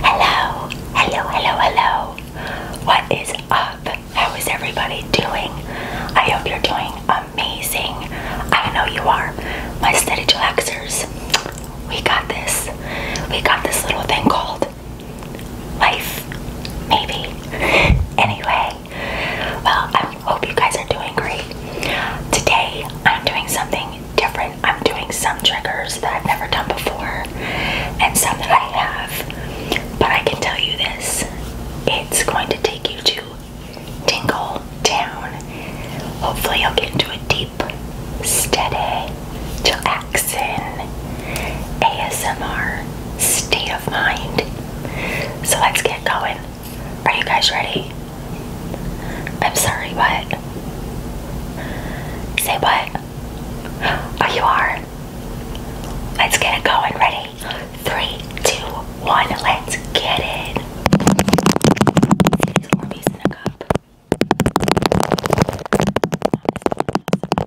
Hello, hello, hello, hello. What is up? How is everybody doing? I hope you're doing amazing. I know you are. My steady relaxers. We got this. We got this little thing called life, maybe. anyway, well, I hope you guys are doing great. Today, I'm doing something different. I'm doing some triggers that I've never done before and some that I have. But I can tell you this it's going to take you to Tingle Town. Hopefully, you'll get into a deep, steady, chill relaxing ASMR state of mind. So let's get going. Are you guys ready? I'm sorry, what? Say what? Oh, you are? Let's get it going. Ready? Three, two, one. Let's get it. in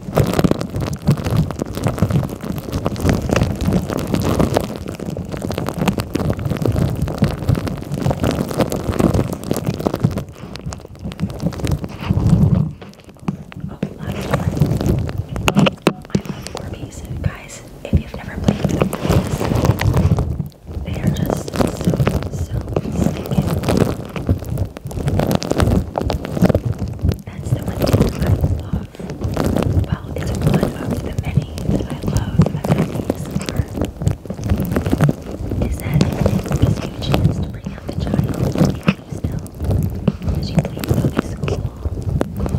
Okay, last one. I love Orbeez. Guys, if you've never played with Orbeez, they are just so, so stinking. That's the that I love. Well, it's one of the many that I love that I use Is that it gives a chance to bring out the child in you still, as you think about these cool, cool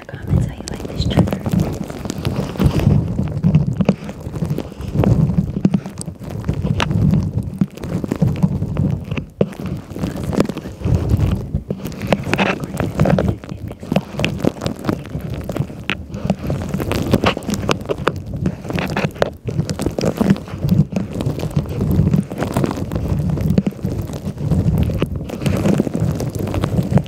the comments how you like this trigger. Thank you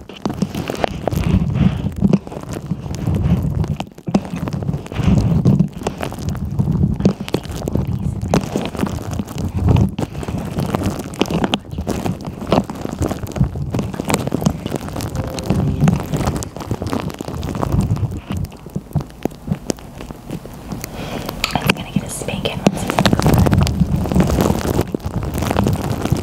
I'm gonna get a spanking once he's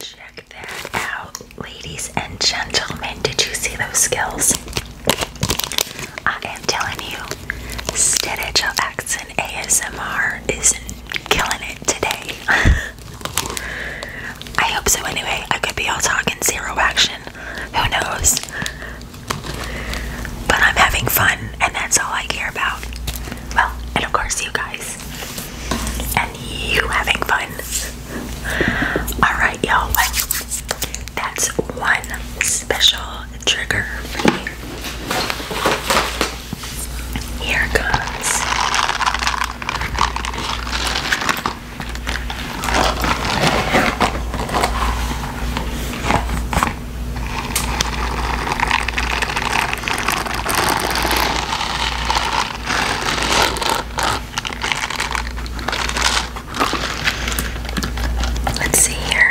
Check that out, ladies and gentlemen. Did you see those skills? I am telling you, Stitch of Accent ASMR is killing it today. I hope so anyway. I could be all talking zero action. Who knows? But I'm having fun and that's all I care about. Well, and of course you guys. And you having fun. Alright, y'all. that's one special trigger for me. Here it Let's see here.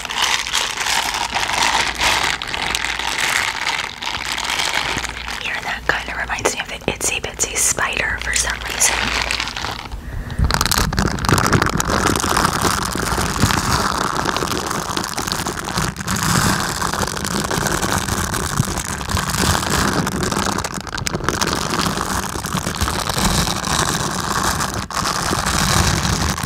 Here, that kind of reminds me of the Itsy Bitsy spider for some reason.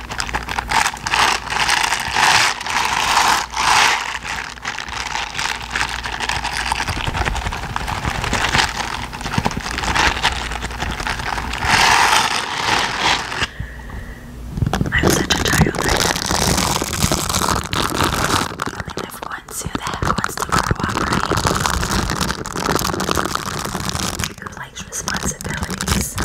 I'm such a child. I only live once. Who the heck wants to cooperate? Who likes responsibilities? Who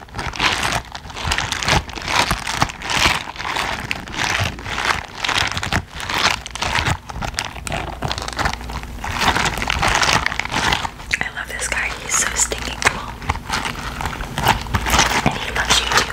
I love this guy, he's so stinking cool. And he loves you too.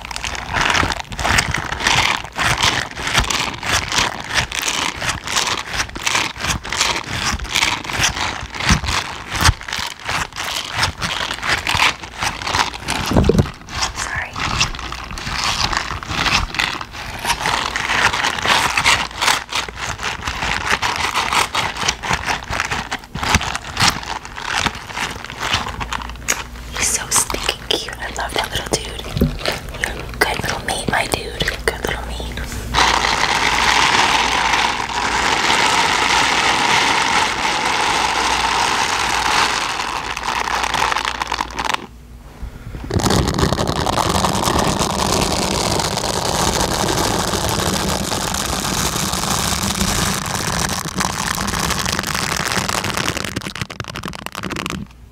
Sorry. He's so stinky cute. I love that little dude. You're a good little mate, my dude. Good little mate.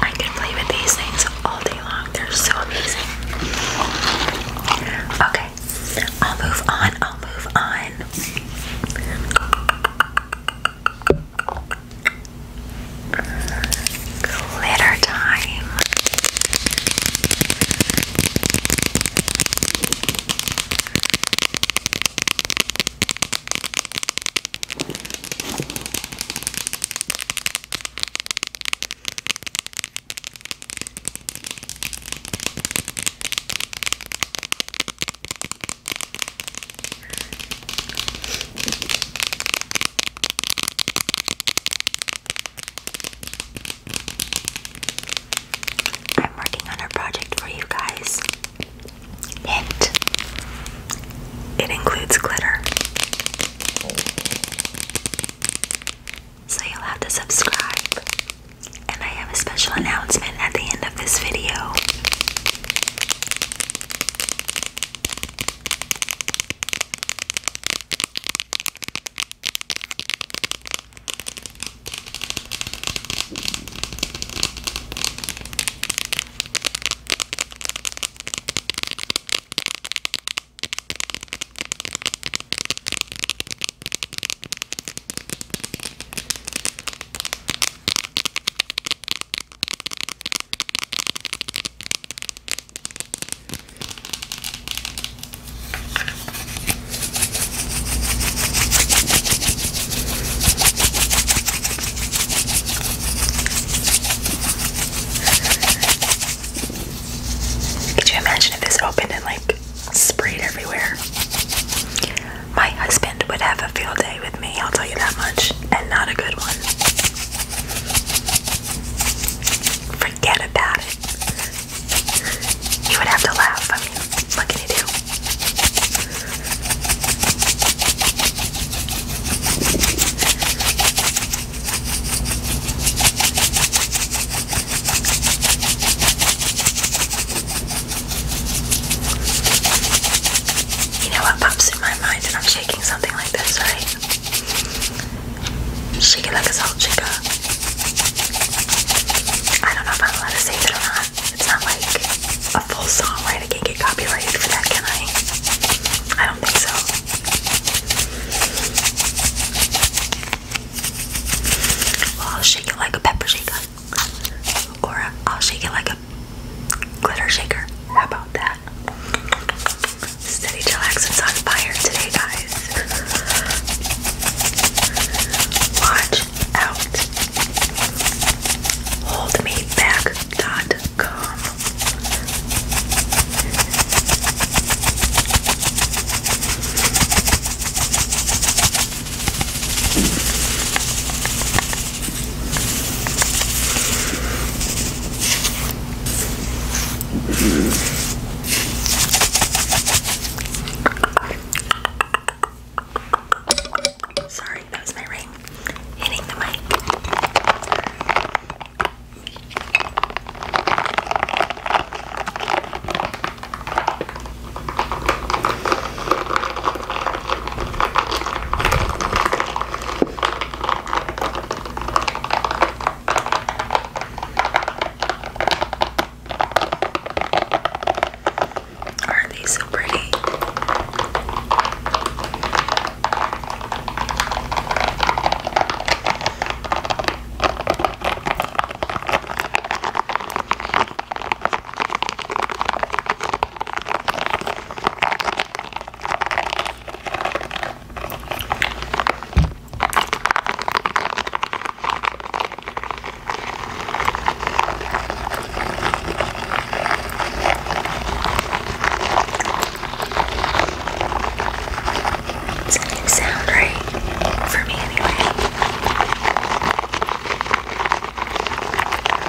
I can play with these things all day long. They're so amazing. Okay, I'll move on. I'll move on. Glitter time. I'm working on a project for you guys. Hint. It includes glitter. So you'll have to subscribe and I have a special announcement at the end of this video. Could you imagine if this opened and like sprayed everywhere? My husband would have a field day with me, I'll tell you that much, and not a good one. Forget about it. You would have to laugh. what can you do? You know what pops in my mind when I'm shaking something like this, right? Shake it like a salt shaker. I don't know if I'm allowed to say it or not. It's not like a full song, right? I can't get copyrighted for that, can I? I don't think so. Well, shake it like a pepper shaker. Or I'll shake it like a glitter shaker. How about that? Steady Chillaxin's on fire today, guys. Watch out. Holdmeback.com. Sorry, that was my ring hitting the mic. Aren't these so pretty? Doesn't sound right for me anyway.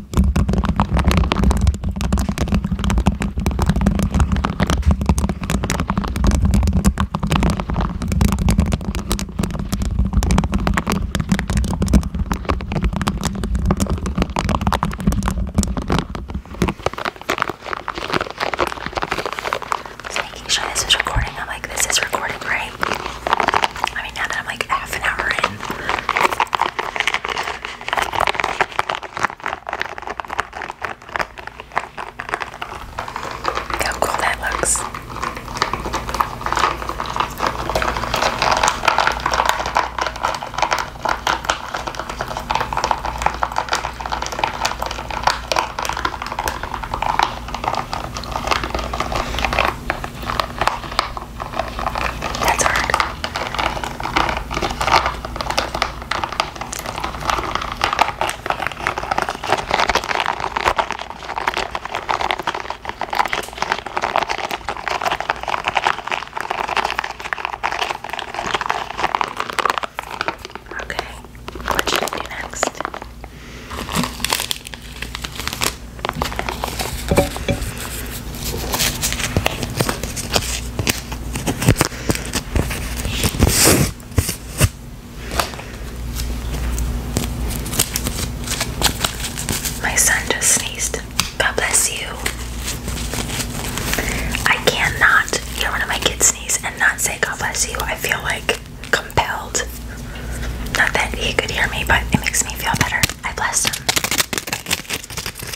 Just making sure this is recording. I'm like, this is recording, right? I mean, now that I'm like half an hour in. Look how cool that looks. That's hard. Okay, what should I do next? My son just sneezed. God bless you. I cannot hear one of my kids sneeze and not say God bless you. I feel like compelled. Not that he could hear me, but it makes me feel better. I bless him.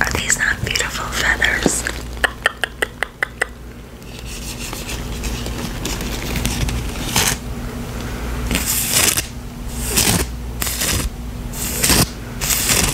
Are these not beautiful feathers?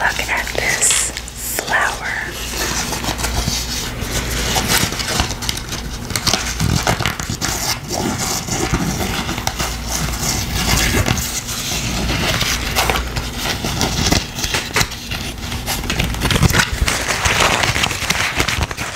Look at this flower.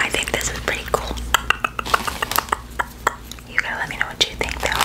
I think this is pretty cool. You gotta let me know what you think though.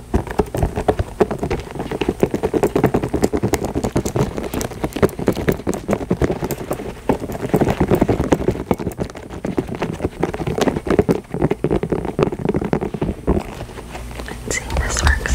Let's see if this works.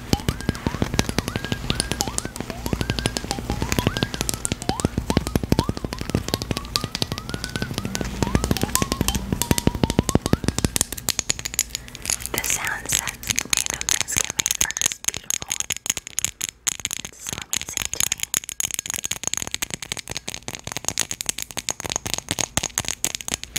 The sounds that random things can make are just beautiful. It's so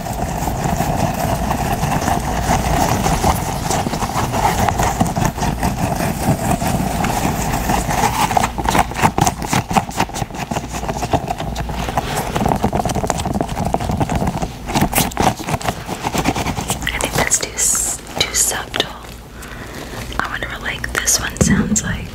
I think that's too too subtle. I wonder what like this one sounds like.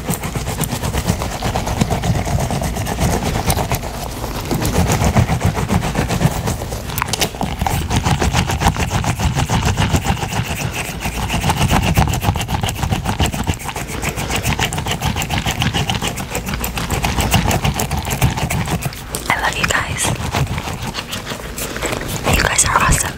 I love you guys. You guys are awesome.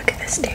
Look at this dude.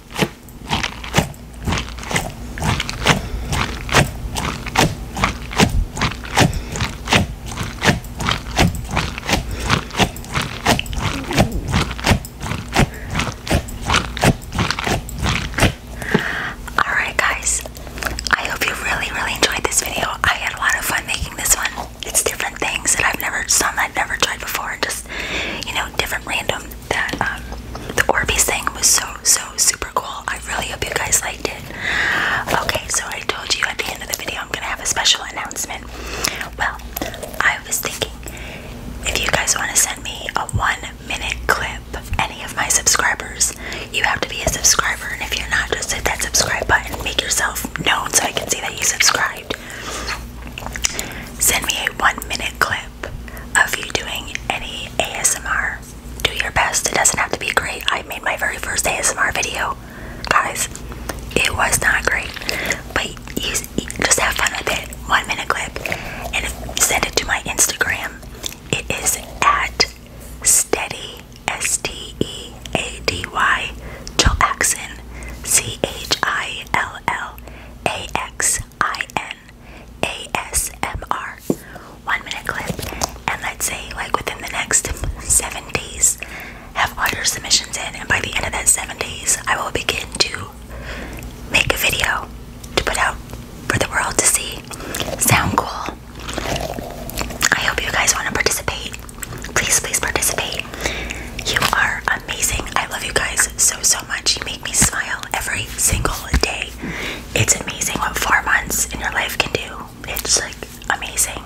Alright, guys, I hope you really, really enjoyed this video. I had a lot of fun making this one. It's different things that I've never, done that I've never tried before, and just you know different random that um, the Orbeez thing was so so super cool. I really hope you guys liked it. Okay, so I told you at the end of the video I'm gonna have a special announcement. Well, I was thinking if you guys want to send me a one minute clip, any of my subscribers, you have to be a subscriber, and if you're not, just hit that subscribe button, make yourself known so I can see that you subscribed. Send me a one minute clip of you doing any ASMR. Do your best. It doesn't have to be great. I made my very first ASMR video, guys. It was not great, but you, just have fun with it. One minute clip, and send it to my Instagram. It is at steady s t e a d y Jill C H I L L a X I N A S M R one minute clip. And let's say, like, within the next seven days, have all your submissions in. And by the end of that seven days, I will begin to make a video to put out for the world to see. Sound cool? I hope you guys want to participate. Please, please participate. You are amazing. I love you guys so, so much. You make me smile every single day. It's amazing what four months in your life can do. It's like amazing.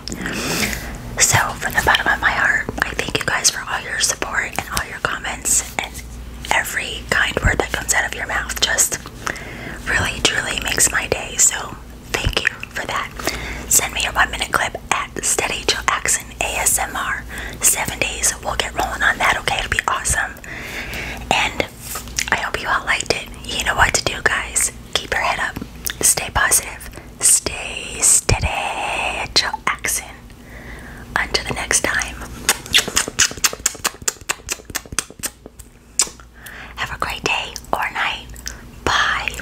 So, from the bottom of my heart, I thank you guys for all your support and all your comments and every kind word that comes out of your mouth. Just really, truly makes my day. So, thank you for that. Send me your one minute clip Steady Joe accent ASMR. Seven days. We'll get rolling on that, okay? It'll be awesome. And I hope you all liked it. You know what to do, guys. Keep your head up. Stay positive. Stay steady, Joe accent. Until the next time. Have a great day or night. Bye.